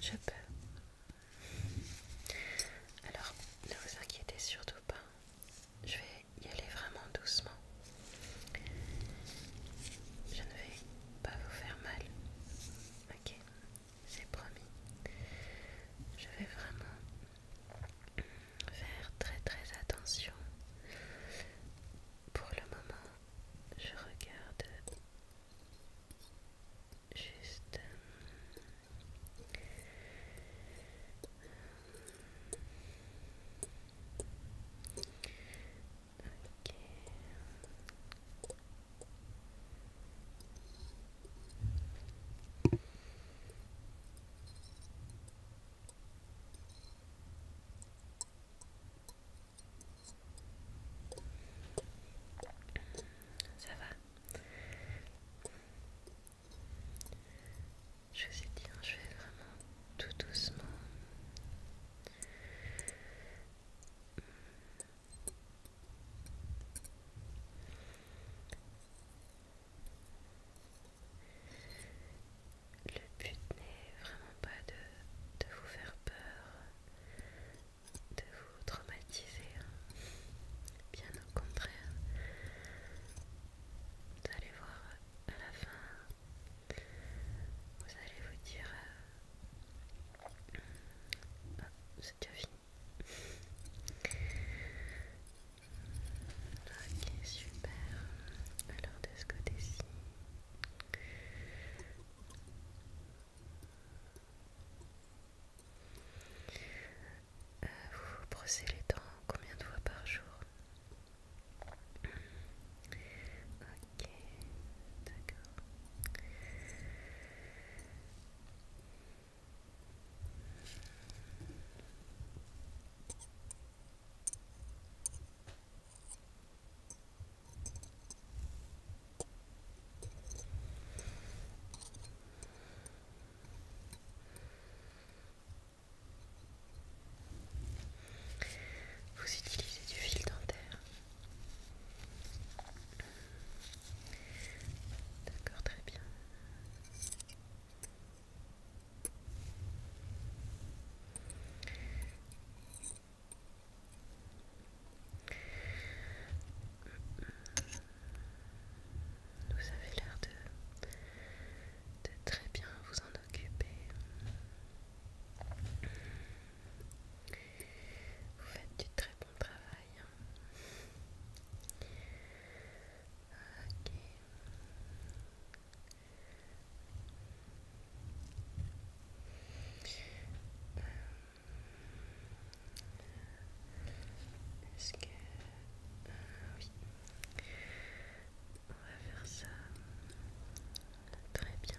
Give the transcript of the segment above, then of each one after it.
Je peux. Alors, ne vous inquiétez surtout pas. Je vais y aller vraiment doucement. Je ne vais pas vous faire mal. Ok c'est promis. Je vais vraiment faire très très attention. Pour le moment, je regarde juste euh, ça va. Je vous ai dit, hein, je vais vraiment tout doucement. Le but n'est vraiment pas de, vous faire peur, de vous traumatiser, hein. bien au contraire. Vous allez voir à la fin, vous allez vous dire... Euh, oh, c'est fini. Ok, super. Alors de ce côté-ci. vous vous brossez les dents combien de fois par jour Ok, d'accord. Vous utilisez du fil dentaire D'accord, très bien. Vous avez l'air de, de très bien vous en occuper. Vous faites du très bon travail. Ok. Euh, est-ce que... Euh, oui. On va faire ça. Très bien.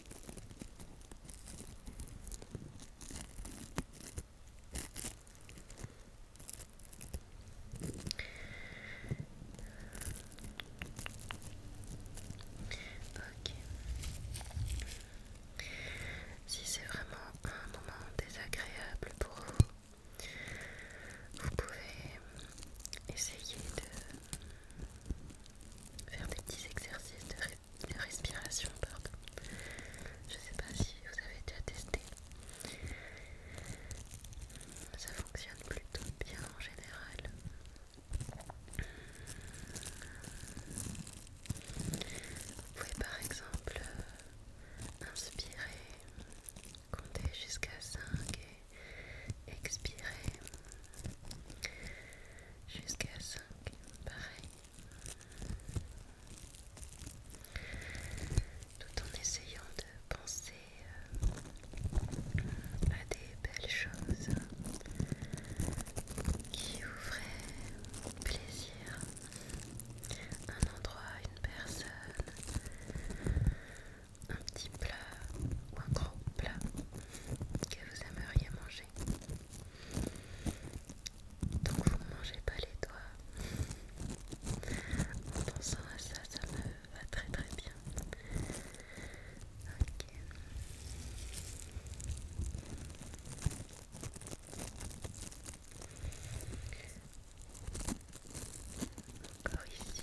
Si c'est vraiment un moment désagréable pour vous, vous pouvez essayer de faire des petits exercices de respiration, pardon. Je sais pas si vous avez déjà testé. Ça fonctionne plutôt bien en général. Vous pouvez par exemple euh, inspirer, compter jusqu'à 5 et expirer jusqu'à 5, pareil. Tout en essayant de penser euh, à des belles choses qui vous feraient plaisir. Un endroit, une personne, un petit plat ou un gros plat que vous aimeriez manger. Donc vous ne mangez pas les doigts. En pensant à ça, ça me va très très bien. Ok. Encore ici.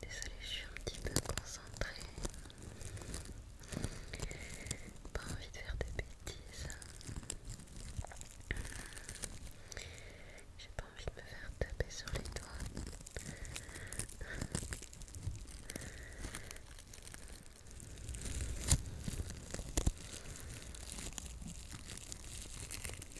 Désolée, je suis un petit peu concentrée. Pas envie de faire des bêtises. J'ai pas envie de me faire taper sur les doigts.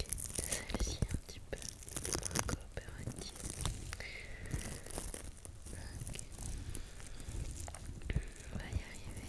Celle-ci un petit peu moins coopérative. ok, On va y arriver.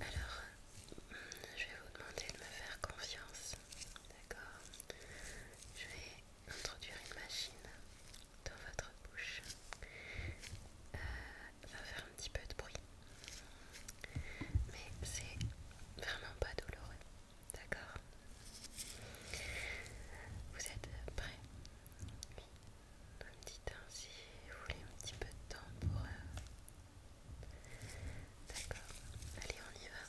alors, je vais vous demander de me faire confiance, d'accord Je vais introduire une machine dans votre bouche. Elle euh, va faire un petit peu de bruit, mais c'est vraiment pas douloureux. D'accord Vous êtes prêts Oui. un petit temps si vous voulez un petit peu de temps pour... Euh, d'accord. Allez, on y va.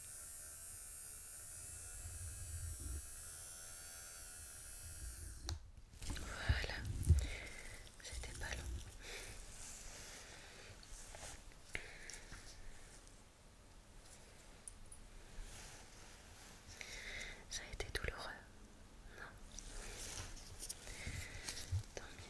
Voilà, c'était pas long. Ça a été douloureux, non Tant mieux.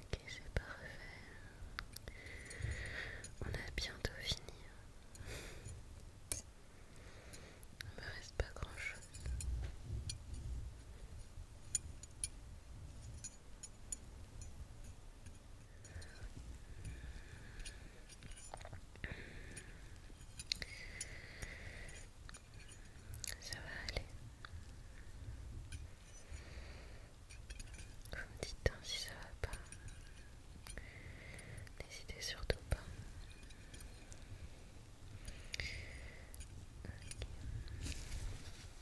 Ok, c'est parfait. On a bientôt fini. Hein. Il me reste pas grand chose. Ça va aller. Vous me dites hein, si ça va pas. N'hésitez surtout pas.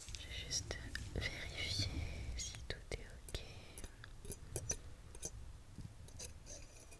Je juste vérifier si tout est ok.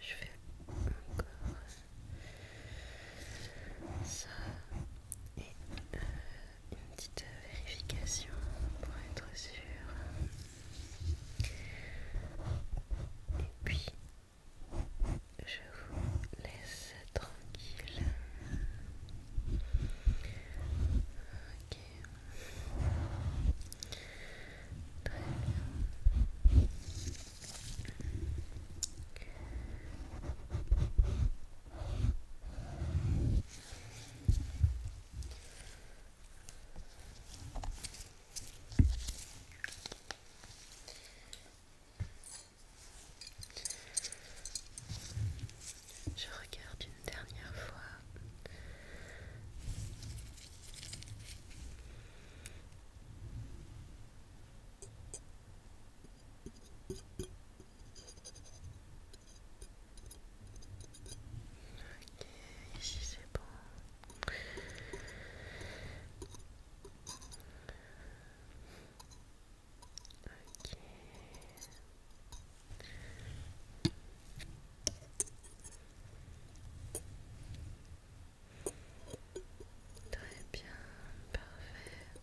je fais encore ça et euh, une petite vérification pour être sûr et puis je vous laisse tranquille ok Très bien. Je regarde une dernière fois. Ok, ici c'est bon. Très bien, parfait.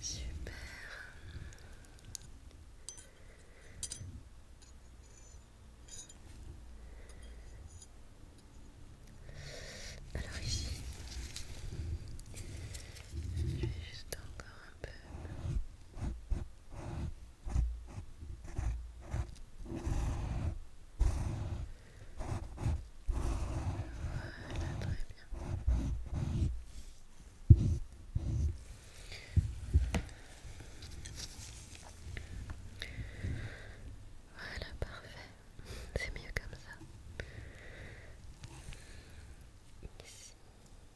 Super. Alors ici, je vais juste encore un peu. Voilà, très bien. Voilà, parfait. C'est mieux comme ça. Ici.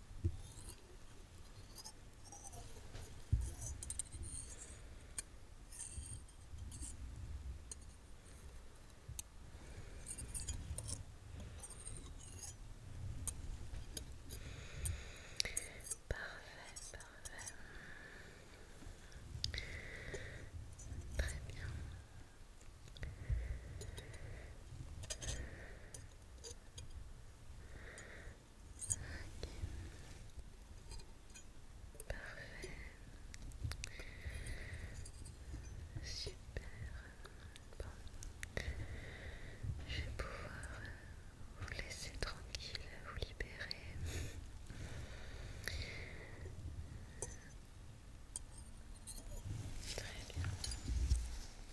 Parfait, parfait. Très bien. Parfait. Super. Je vais pouvoir vous laisser tranquille, vous libérer. Très bien.